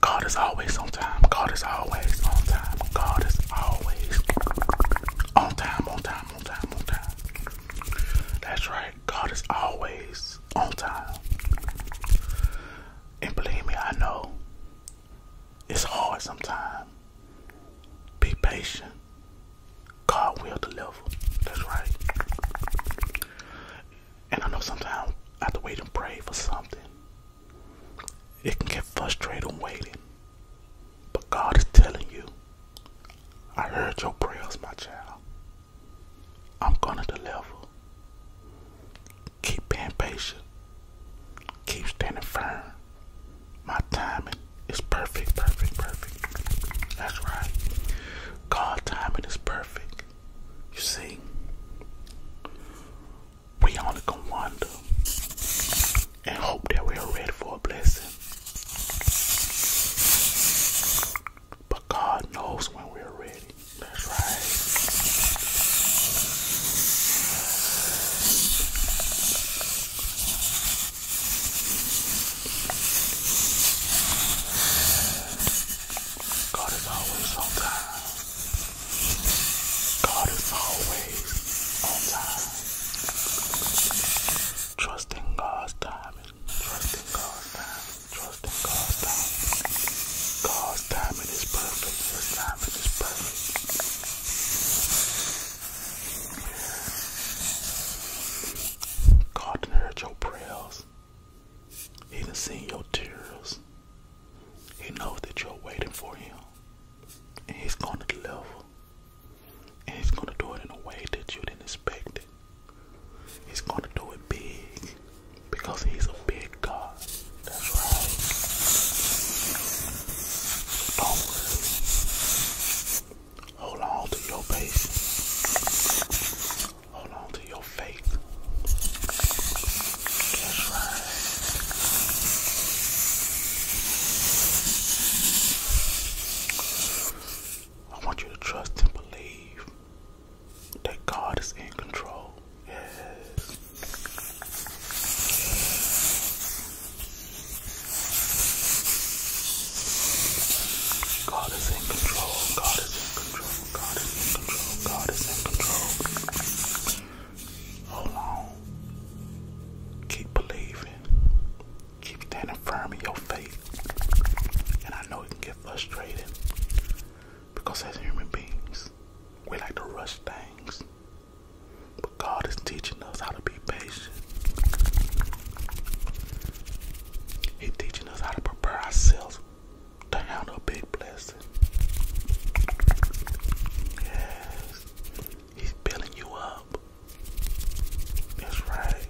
God is always on time. God is always on time. God is always on time, on time, on time, on time. That's right. God is always on time. And believe me, I know it's hard sometimes. Be patient. God will deliver. That's right. And I know sometimes I have to wait and pray for something. It can get frustrating waiting. But God is telling you, I heard your prayers, my child. I'm gonna deliver. Keep being patient. Keep standing firm. My timing is perfect, perfect, perfect. That's right. God timing is perfect. You see, we only can wonder and hope that we are ready for a blessing. But God knows when we're ready. That's right. God is always on time. God is always on time. Trusting God's timing. Trusting God's timing. Trusting God's timing. God's timing is perfect. His timing is perfect. God done heard your prayers. He done seen your tears. He knows that you're waiting for him. And he's gonna deliver. And he's gonna do it in a way that you didn't expect it. He's gonna do it big. Because he's a big God. That's right. Don't worry. Hold on to your patience. Hold on to your faith. That's right. I want you to trust and believe that God is in control. Yes. God is in control. God is in control. God is in control. God is in control. Hold on. Keep believing. Keep standing firm in your faith. And I know it can get frustrating because as human beings, we like to rush things. But God is teaching us how to be. He's teaching us how to prepare ourselves to handle big blessings. Yes. He's building you up. That's right.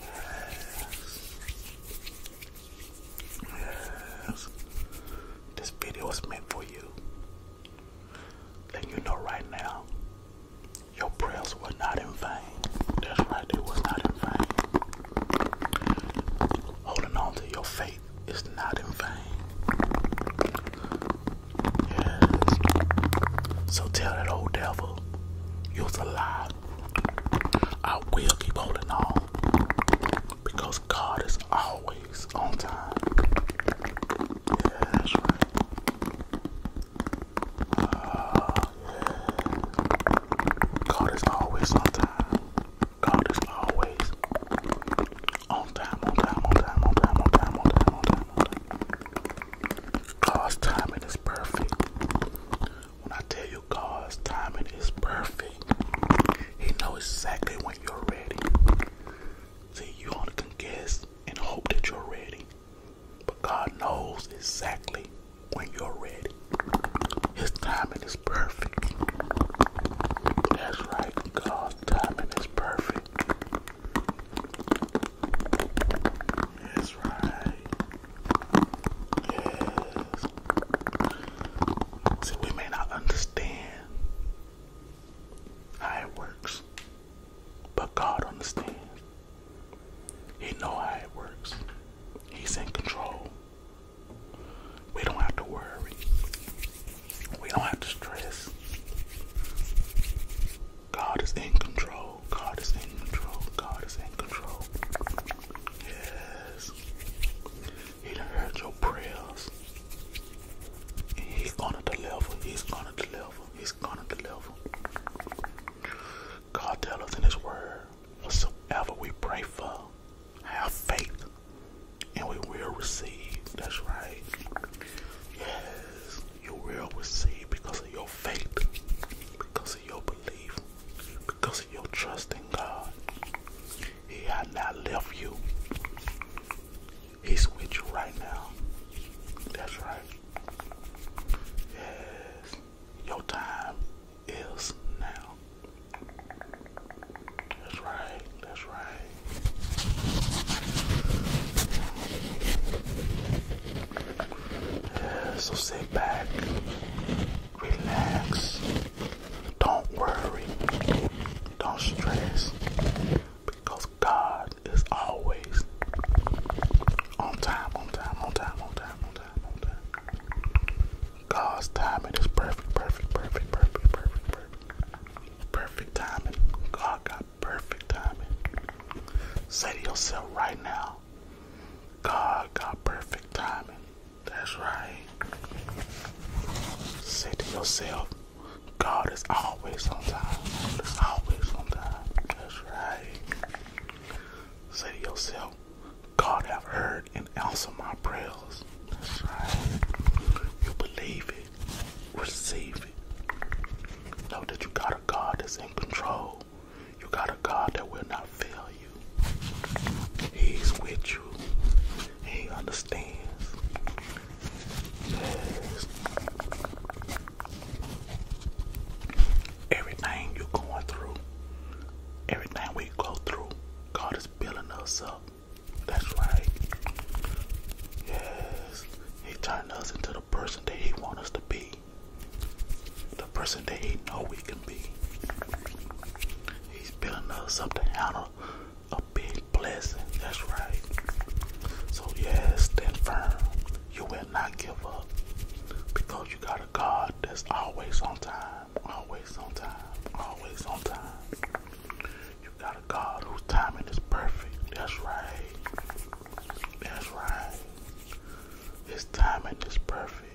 Yes. Yes. This video was meant for you. Letting you know right now, your prayers were not in vain. That's right, they was not in vain. Holding on to your faith is not in vain. Yes. So tell that old devil, you're a lie. I will keep holding on because God is always weeks on time. Yeah, that's right. Uh, God is always on time. God is always on time, on time, on time, on time, on time, on time, on time. God's timing is perfect. When I tell you God's timing is perfect, He knows exactly when you're ready. See, you want to guess and hope that you're ready. But God knows exactly when you're ready. His timing is perfect. That's right, God's timing is perfect. That's right. Yes. See, we may not understand how it works. But God understands. He knows how it works. He's in control. We don't have to worry. We don't have to stress. God is in control. God is in control. God is in control. Yes. He done heard your prayers. he's gonna deliver. He's gonna deliver. He's gonna deliver. God tell us in his word, whatsoever we pray for, have faith, and we will receive. That's right. Yes, you will receive because of your faith, because of your belief, because of your trust in God. He had not left you. He's with you right now. That's right. Yes. Your time is now. That's right. That's right. Yeah, so sit back, relax, don't worry. Don't stress. Because God is always on time, on time, on time, on time, on time, on time. God's timing is perfect, perfect, perfect, perfect, perfect, perfect. Perfect timing. God got perfect timing. Say to yourself right now, God got perfect timing. That's right. Say to yourself, God is always on time. God is always on time. That's right. Say to yourself, God have heard and answered my prayers. That's right. You believe it. Receive it. Know that you got a God that's in control. You got a God that will not fail you. He's with you. He understands. Yes. Everything you're going through, everything we go through, God is building us up. That's right. Yes. He turned us into the person that He wants us to be. The person that He know we can be. He's building us up to handle are a big blessing. That's right. So, yeah, stand firm. You will not give up because you got a God that's always on time, always on time, always on time. You got a God whose timing is perfect. That's right. That's right. His timing is perfect.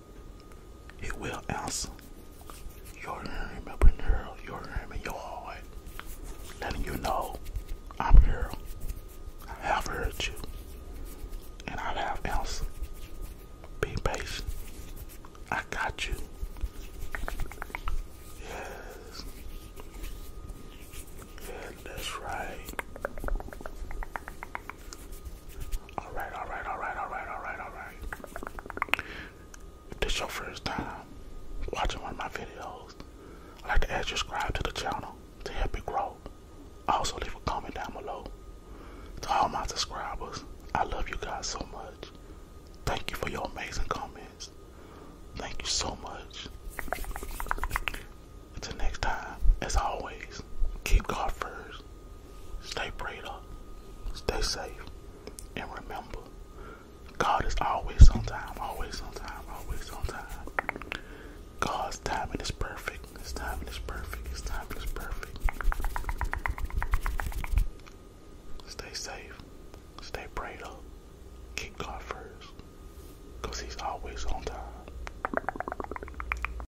It will answer your room, up in there, your room in your heart, letting you know I'm here. I have heard you, and I have answered. Be patient. I got you. Yes. Yeah, that's right. All right, all right, all right, all right, all right, all right. If this your first time watching one of my videos, I'd like to ask you to subscribe to the channel to help it grow. Also, leave a comment down below. To all my subscribers, I love you guys so much. Thank you for your amazing comments. Thank you so much. Until next time, as always, keep God first. Stay prayed up, stay safe, and remember, God is always on time, always on time, always on time. God's timing is perfect. His timing is perfect. His timing is perfect. Stay safe. Stay prayed up. Keep God first. Because He's always on time.